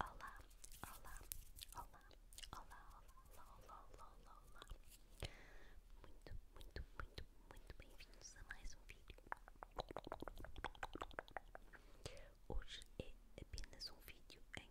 Olá, olá, olá, olá, olá, olá, olá, olá, olá. Muito, muito, muito, muito bem-vindos a mais um vídeo. Hoje é apenas um vídeo em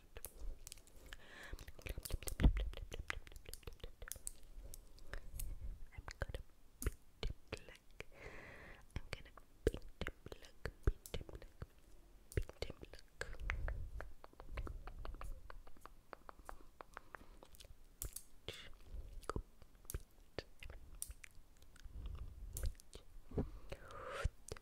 I'm gonna beat him black. I'm gonna beat him black, beat him black, beat him black. Beach. Go beat. Beach.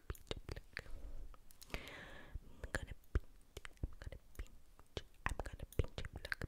pinch, pluck. I'm gonna I'm gonna I'm gonna